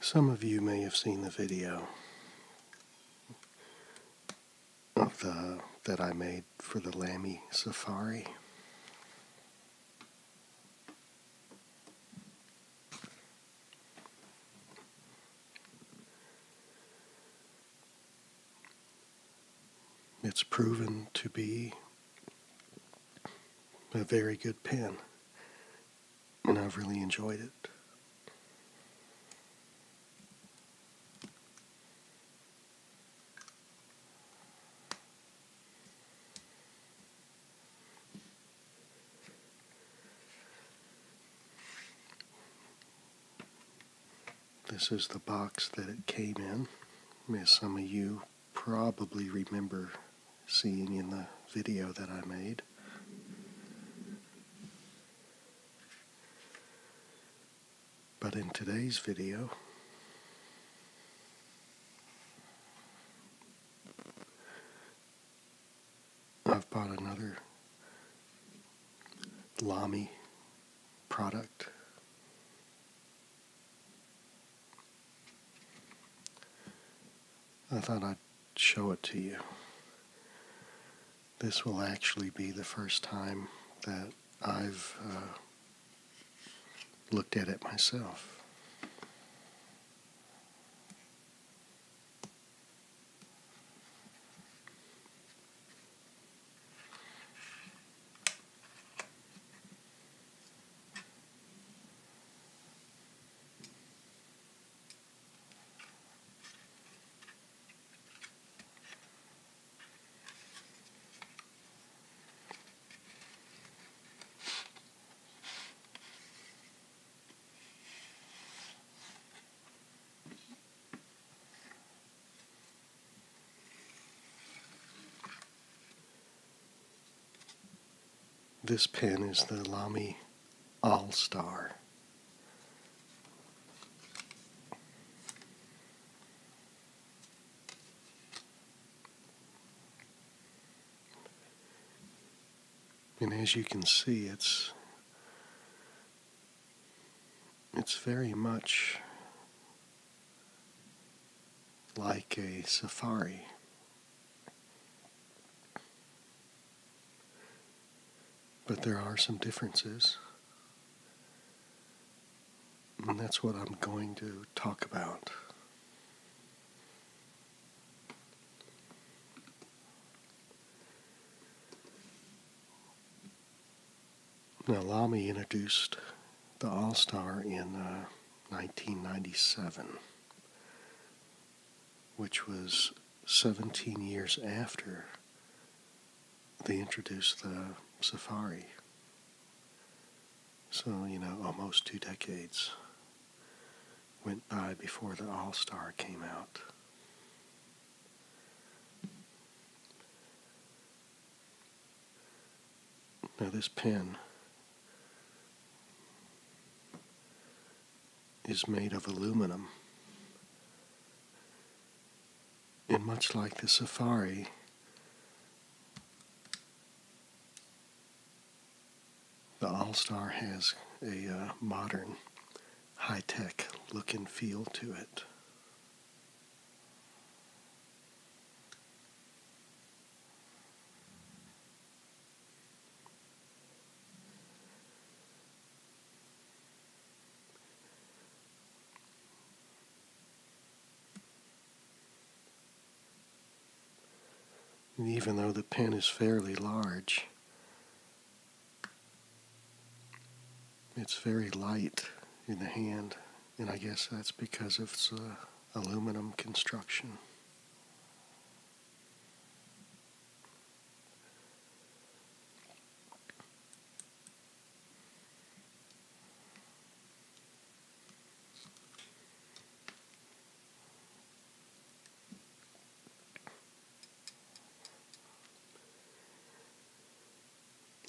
Some of you may have seen the video the, that I made for the Lammy Safari. It's proven to be a very good pen, and I've really enjoyed it. This is the box that it came in, as some of you probably remember seeing in the video that I made. But in today's video, I've bought another Lami product. I thought I'd show it to you this will actually be the first time that I've uh, looked at it myself. This pen is the Lamy All Star. And as you can see, it's it's very much like a safari. But there are some differences. And that's what I'm going to talk about. Now, Lamy introduced the All Star in 1997, uh, which was 17 years after they introduced the Safari. So, you know, almost two decades went by before the All Star came out. Now, this pen is made of aluminum. And much like the safari, the All Star has a uh, modern, high tech look and feel to it. And even though the pen is fairly large, it's very light in the hand, and I guess that's because its uh, aluminum construction.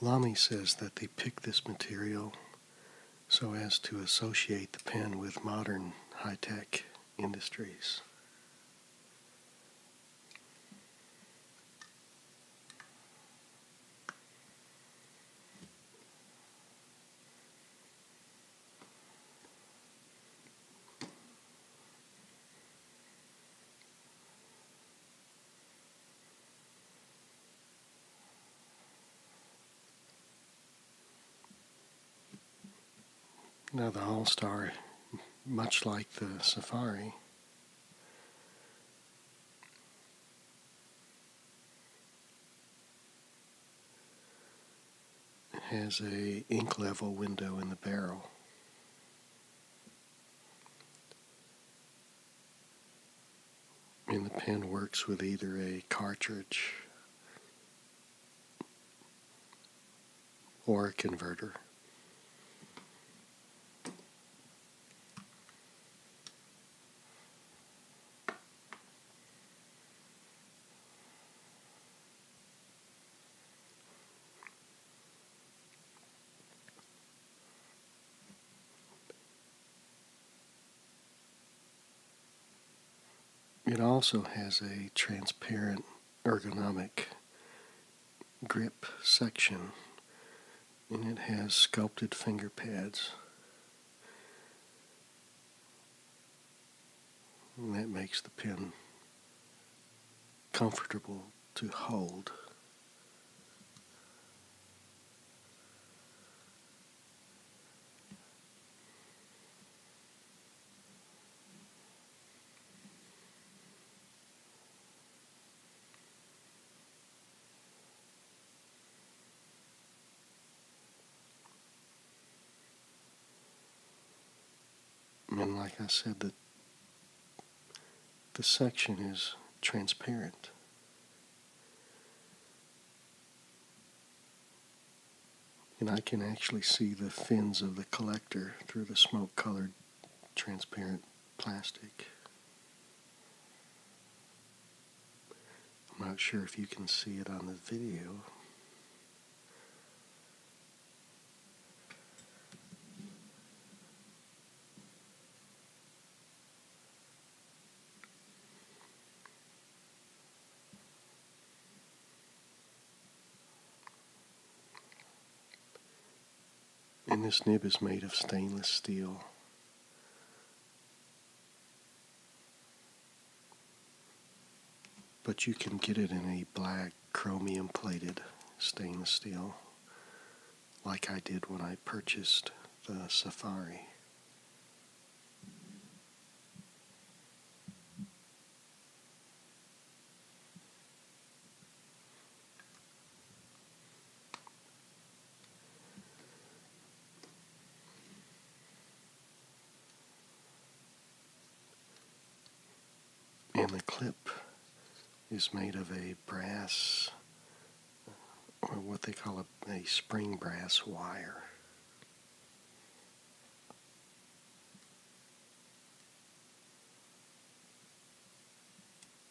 Lamy says that they picked this material so as to associate the pen with modern high tech industries. Now the All Star, much like the Safari, has a ink level window in the barrel. And the pen works with either a cartridge or a converter. It also has a transparent ergonomic grip section and it has sculpted finger pads. And that makes the pen comfortable to hold. And like I said, the, the section is transparent. And I can actually see the fins of the collector through the smoke colored transparent plastic. I'm not sure if you can see it on the video. And this nib is made of stainless steel. But you can get it in a black chromium plated stainless steel, like I did when I purchased the Safari. And the clip is made of a brass, or what they call a, spring brass wire.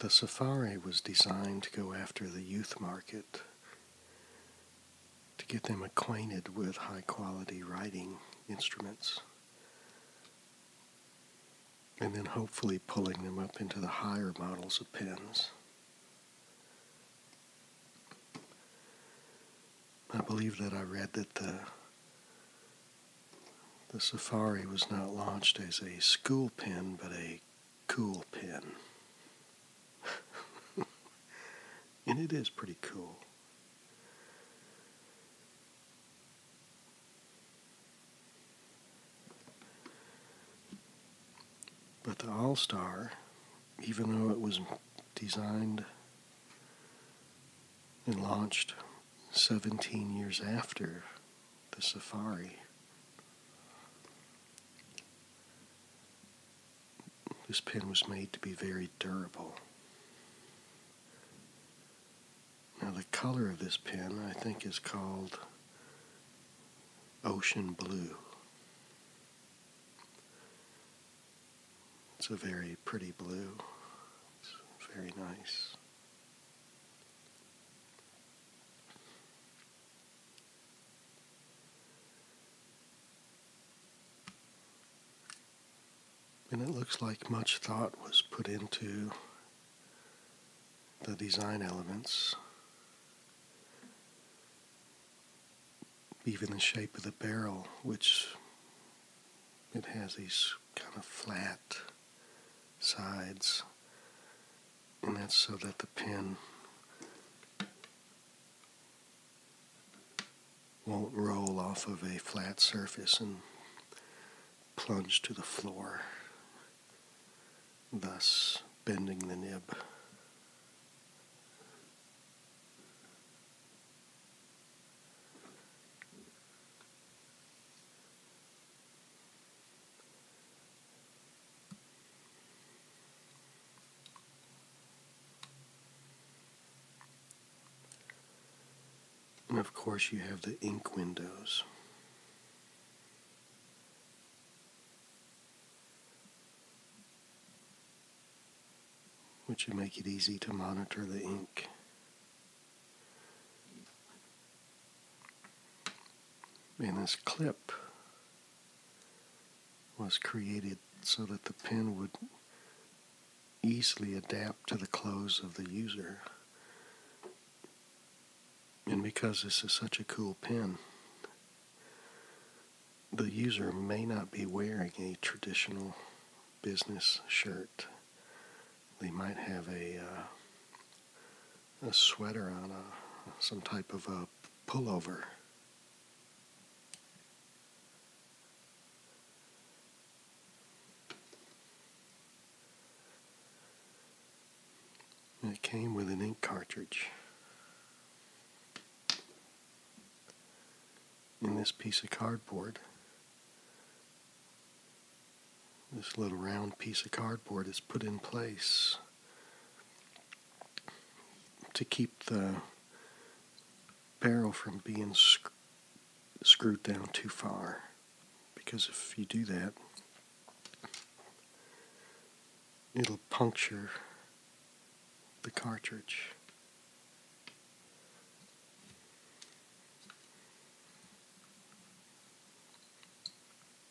The safari was designed to go after the youth market, to get them acquainted with high quality writing instruments, and then hopefully pulling them up into the higher models of pens. I believe that I read that the the Safari was not launched as a school pen but a cool pen. and it is pretty cool. But the All Star, even though it was designed and launched 17 years after the Safari, this pen was made to be very durable. Now, the color of this pen I think is called ocean blue. It's a very pretty blue. It's very nice. And it looks like much thought was put into the design elements, even the shape of the barrel, which it has these kind of flat sides and that's so that the pin won't roll off of a flat surface and plunge to the floor, thus bending the nib. And of course, you have the ink windows. which would make it easy to monitor the ink. In this clip was created so that the pin would easily adapt to the clothes of the user. And because this is such a cool pin, the user may not be wearing a traditional business shirt. They might have a uh, a sweater on a some type of a pullover. And it came with an ink cartridge. In this piece of cardboard, this little round piece of cardboard is put in place to keep the barrel from being screwed down too far. Because if you do that, it'll puncture the cartridge.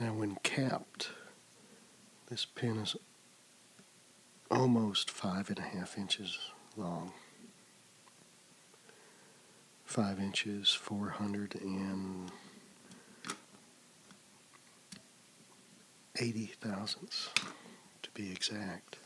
Now when capped, this pin is almost five and a half inches long. Five inches, 400 and 80 thousandths to be exact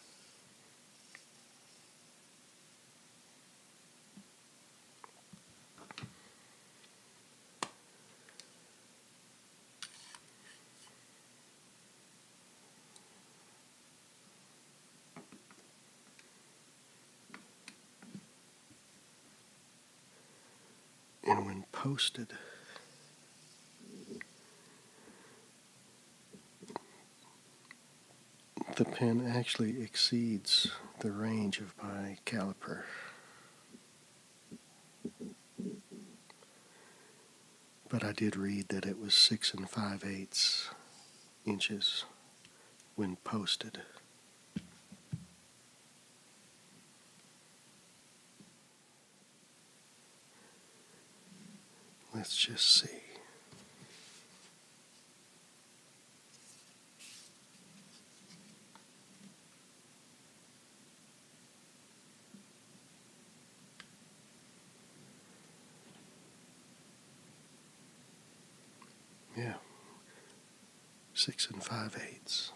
and when posted, the pen actually exceeds the range of my caliper. But I did read that it was six and five eighths inches when posted. Let's just see. Yeah, six and five eighths.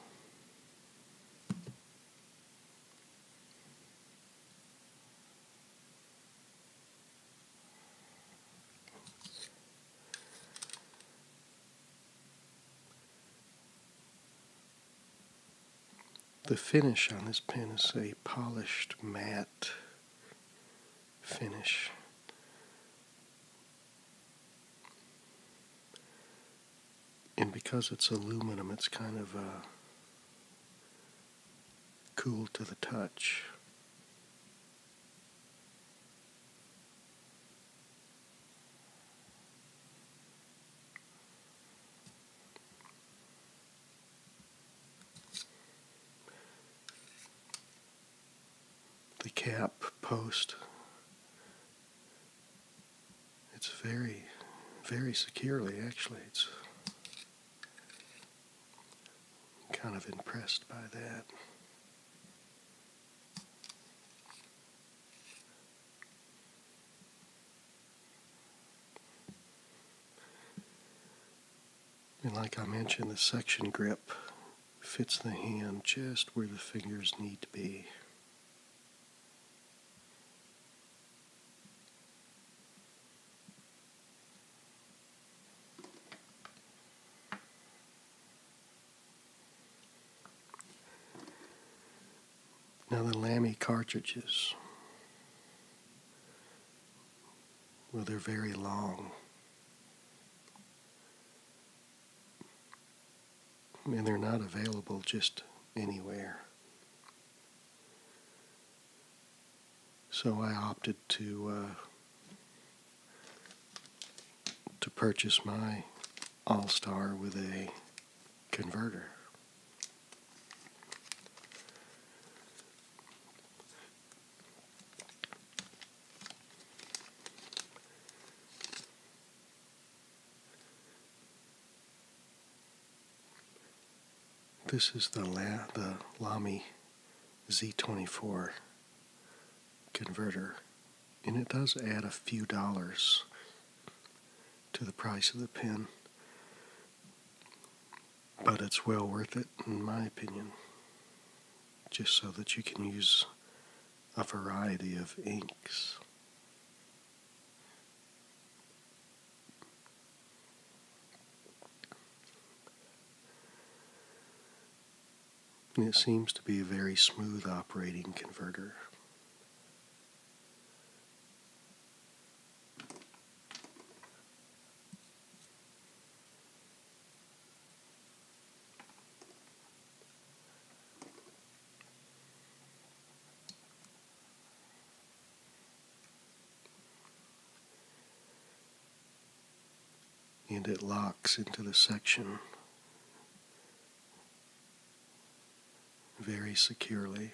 The finish on this pen is a polished matte finish and because it's aluminum, it's kind of uh, cool to the touch. The cap post it's very, very securely, actually. It's kind of impressed by that. And like I mentioned, the section grip fits the hand just where the fingers need to be. Now the Lammy cartridges, well, they're very long and they're not available just anywhere. So I opted to uh, to purchase my All Star with a converter. This is the, La the Lamy Z24 converter, and it does add a few dollars to the price of the pen, but it's well worth it, in my opinion, just so that you can use a variety of inks it seems to be a very smooth operating converter and it locks into the section very securely.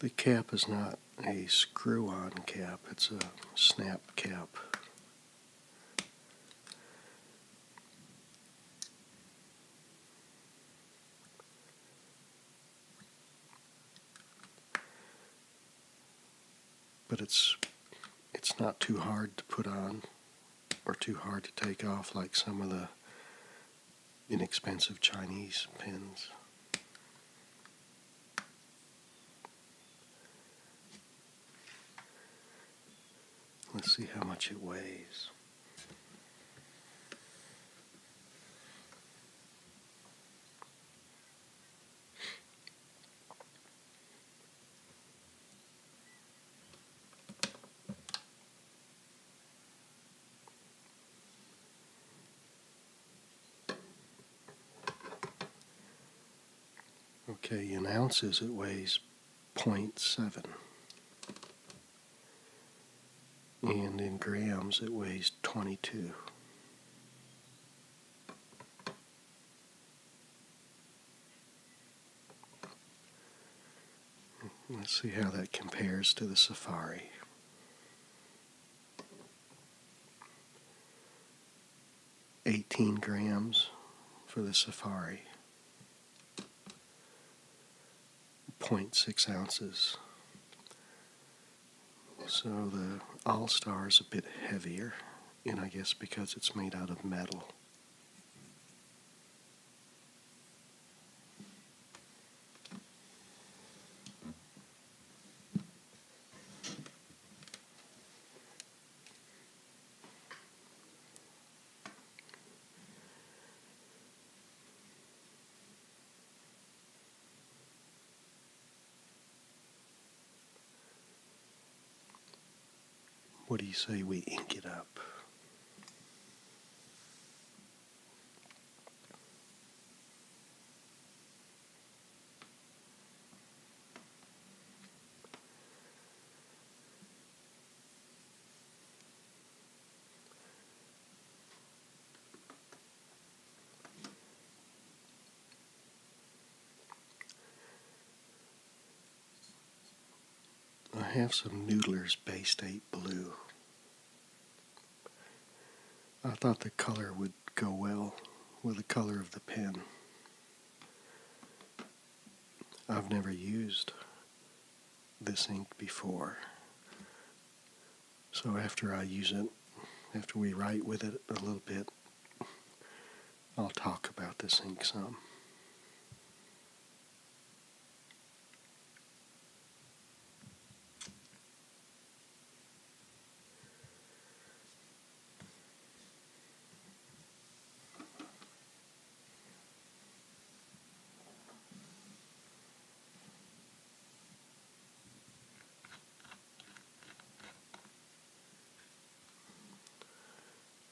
The cap is not a screw on cap, it's a snap cap. But it's it's not too hard to put on or too hard to take off like some of the inexpensive Chinese pins. Let's see how much it weighs. Okay, in ounces it weighs 0.7 and in grams it weighs 22. Let's see how that compares to the Safari. Eighteen grams for the Safari. 0.6 ounces. So the All Star is a bit heavier, and I guess because it's made out of metal. What do you say we ink it up? I have some Noodler's Bay State Blue. I thought the color would go well with the color of the pen. I've never used this ink before. So after I use it, after we write with it a little bit, I'll talk about this ink some.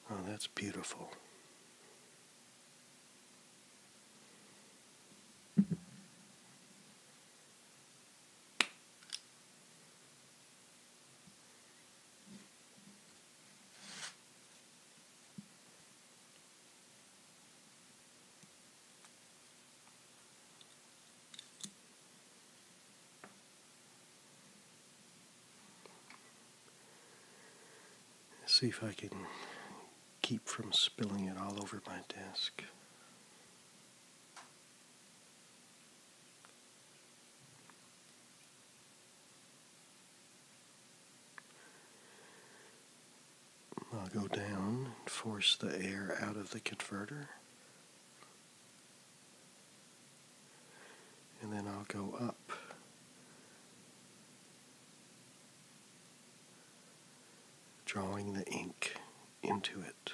Oh, that's beautiful see if I can keep from spilling it all over my desk. I'll go down and force the air out of the converter. And then I'll go up. Drawing the ink into it.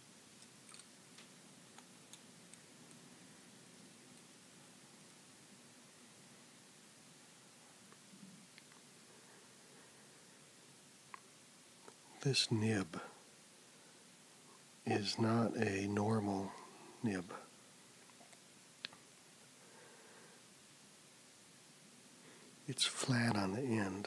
This nib is not a normal nib. It's flat on the end.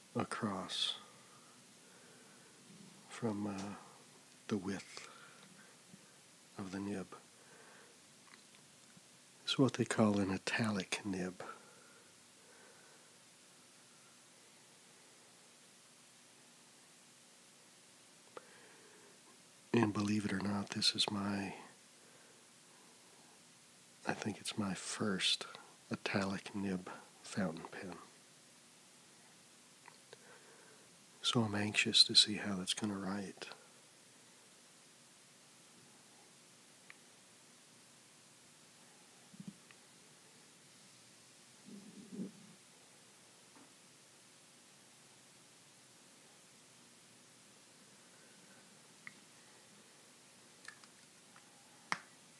across from uh, the width of the nib. It's what they call an italic nib. And believe it or not, this is my, I think it's my first italic nib fountain pen. So I'm anxious to see how that's going to write.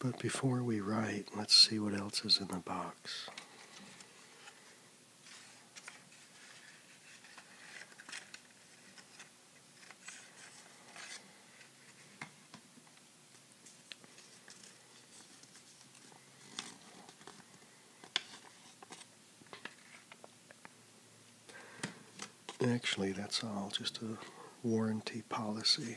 But before we write, let's see what else is in the box. Actually, that's all just a warranty policy.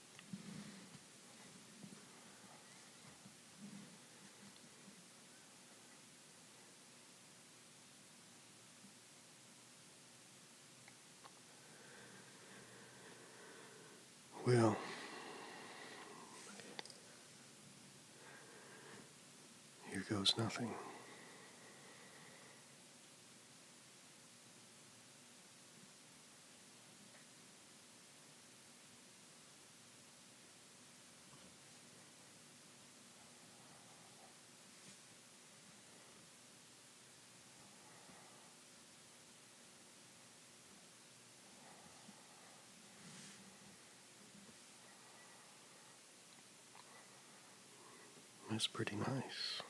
Well, here goes nothing. That's pretty nice.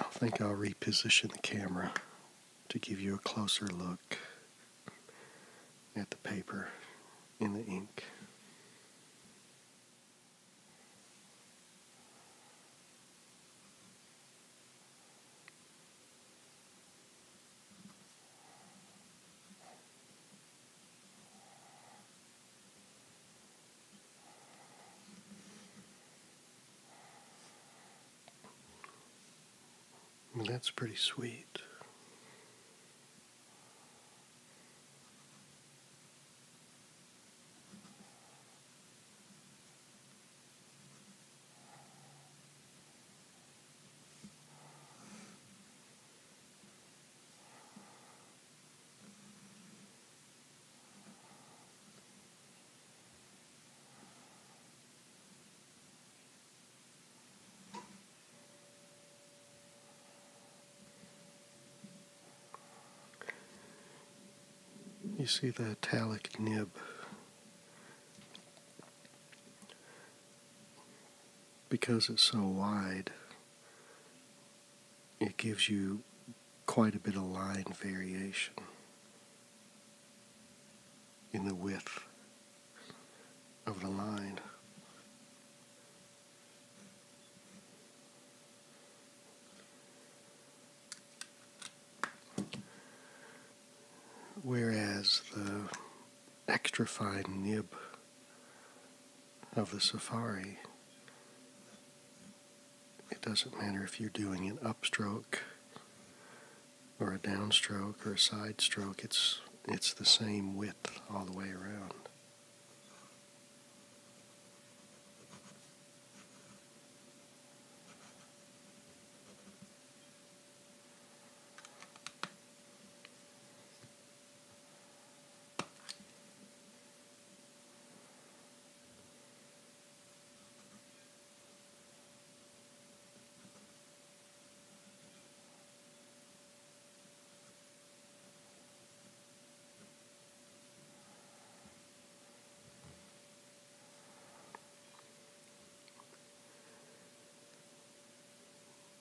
I think I'll reposition the camera to give you a closer look at the paper in the ink that's pretty sweet. You see the italic nib because it's so wide it gives you quite a bit of line variation in the width of the line. Whereas the extra fine nib of the safari it doesn't matter if you're doing an upstroke or a downstroke or a side stroke, it's, it's the same width all the way around.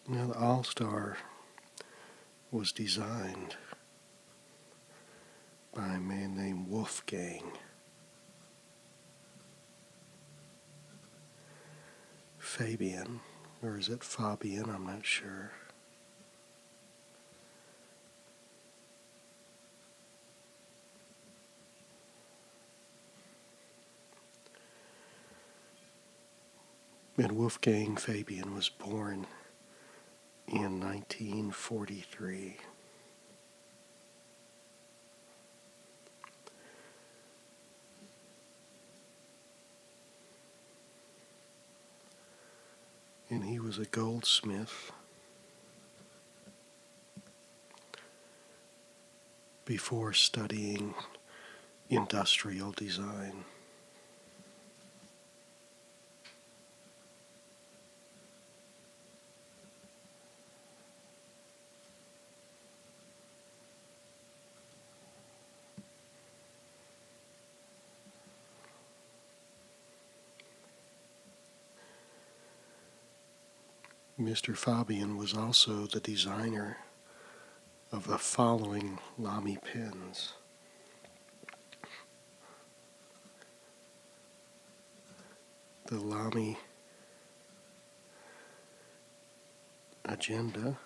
Now, the All Star was designed by a man named Wolfgang. Fabian, or is it Fabian? I'm not sure. And Wolfgang Fabian was born in 1943. And he was a goldsmith. before studying industrial design. Mr. Fabian was also the designer of the following Lamy pens the Lami agenda.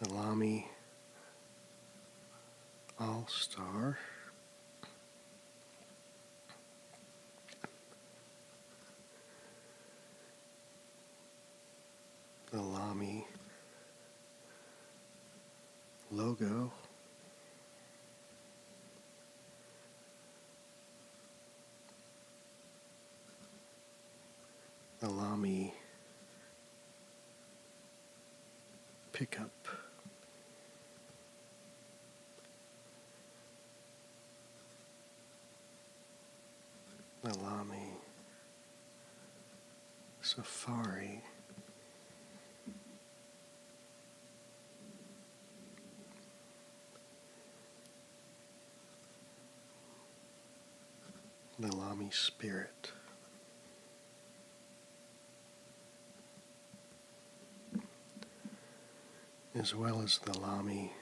The Lami All Star. The Lamy logo. The Lamy pickup. Alami, Safari, Nalami Spirit as well as the Lami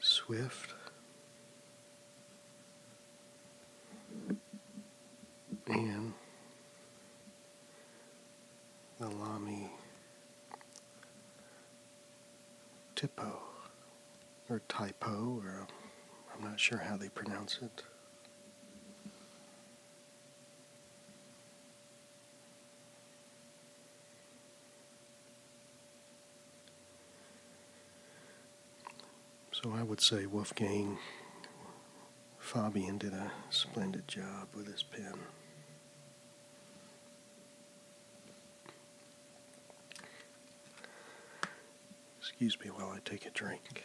Swift and the Lami Tipo or Typo, or I'm not sure how they pronounce it. So I would say Wolfgang Fabian did a splendid job with his pen. Excuse me while I take a drink.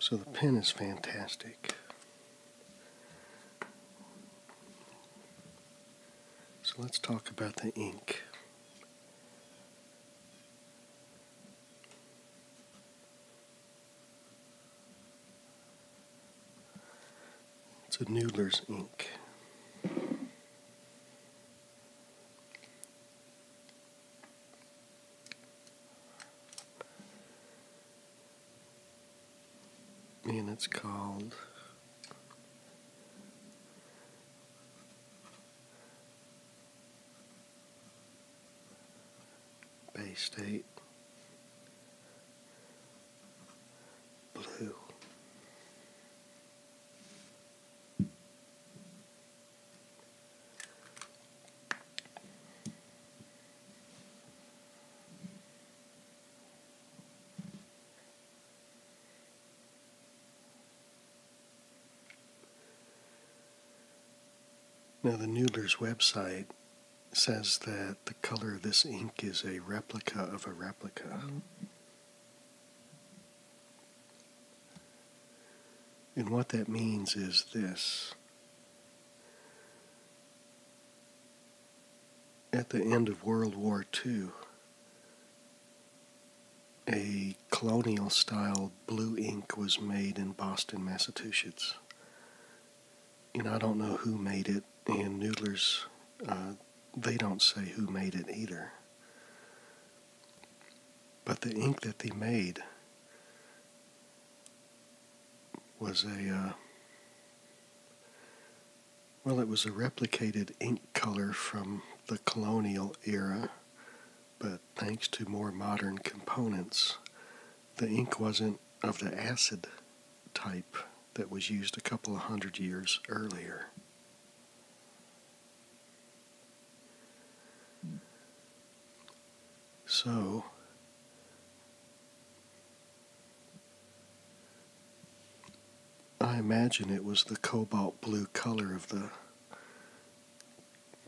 So the pen is fantastic. So let's talk about the ink. It's a Noodler's ink. And it's called Bay State blue. Now, the Noodler's website says that the color of this ink is a replica of a replica. And what that means is this. At the end of World War II, a colonial style blue ink was made in Boston, Massachusetts you know, I don't know who made it, and Noodlers, uh, they don't say who made it either. But the ink that they made was a, uh, well, it was a replicated ink color from the colonial era, but thanks to more modern components, the ink wasn't of the acid type that was used a couple of hundred years earlier. So, I imagine it was the cobalt blue color of the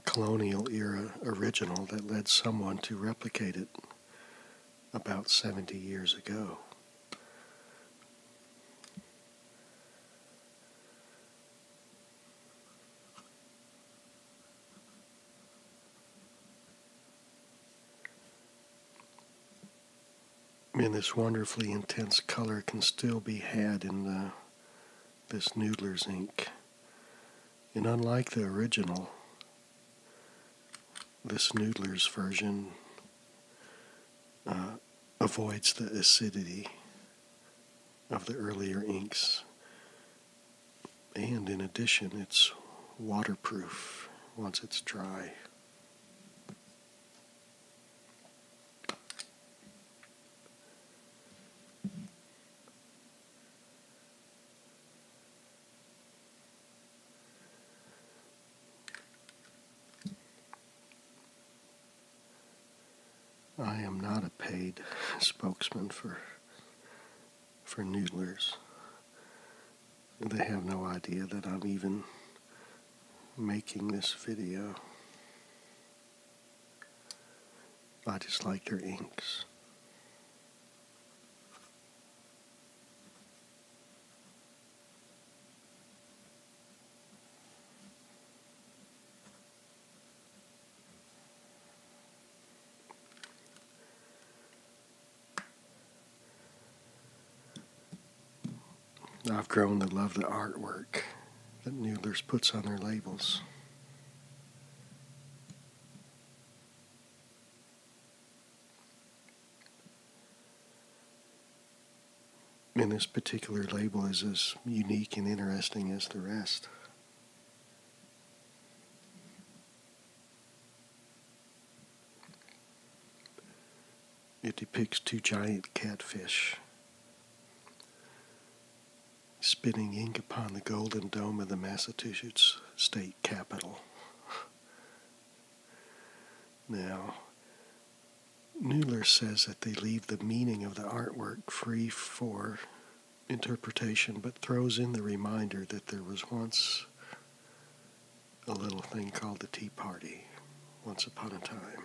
colonial era original that led someone to replicate it about 70 years ago. And this wonderfully intense color can still be had in this Noodler's ink. And unlike the original, this Noodler's version uh, avoids the acidity of the earlier inks. And in addition, it's waterproof once it's dry. I am not a paid spokesman for for noodlers. They have no idea that I'm even making this video. I just like their inks. I've grown to love the artwork that Noodlers puts on their labels. And this particular label is as unique and interesting as the rest. It depicts two giant catfish spitting ink upon the golden dome of the Massachusetts state capitol. Now, Newler says that they leave the meaning of the artwork free for interpretation, but throws in the reminder that there was once a little thing called the Tea Party, once upon a time.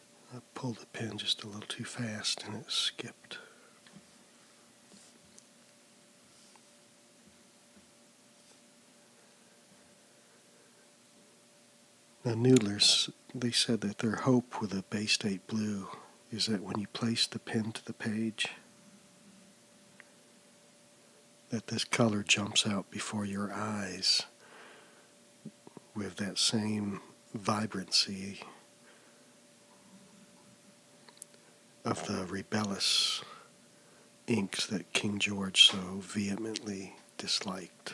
I pulled the pin just a little too fast and it skipped. Now, Noodlers, they said that their hope with a Bay State Blue is that when you place the pin to the page, that this color jumps out before your eyes with that same vibrancy of the rebellious inks that King George so vehemently disliked.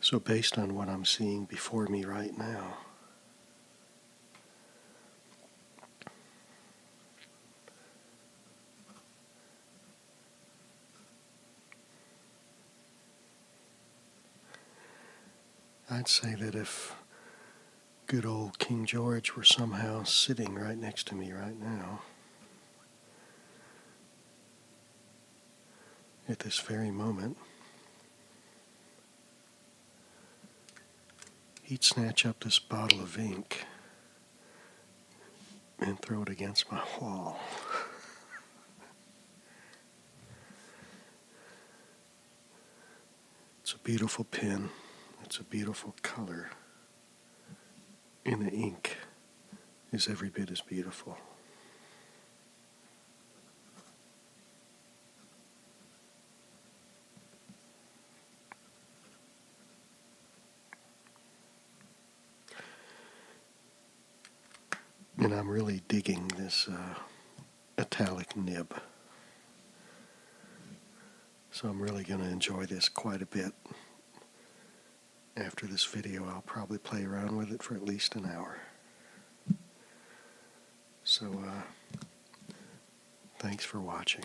So, based on what I'm seeing before me right now, I'd say that if good old King George were somehow sitting right next to me right now, at this very moment, he'd snatch up this bottle of ink and throw it against my wall. it's a beautiful pen. It's a beautiful color. And the ink is every bit as beautiful. And I'm really digging this uh, italic nib. So I'm really going to enjoy this quite a bit. After this video, I'll probably play around with it for at least an hour. So, uh, thanks for watching.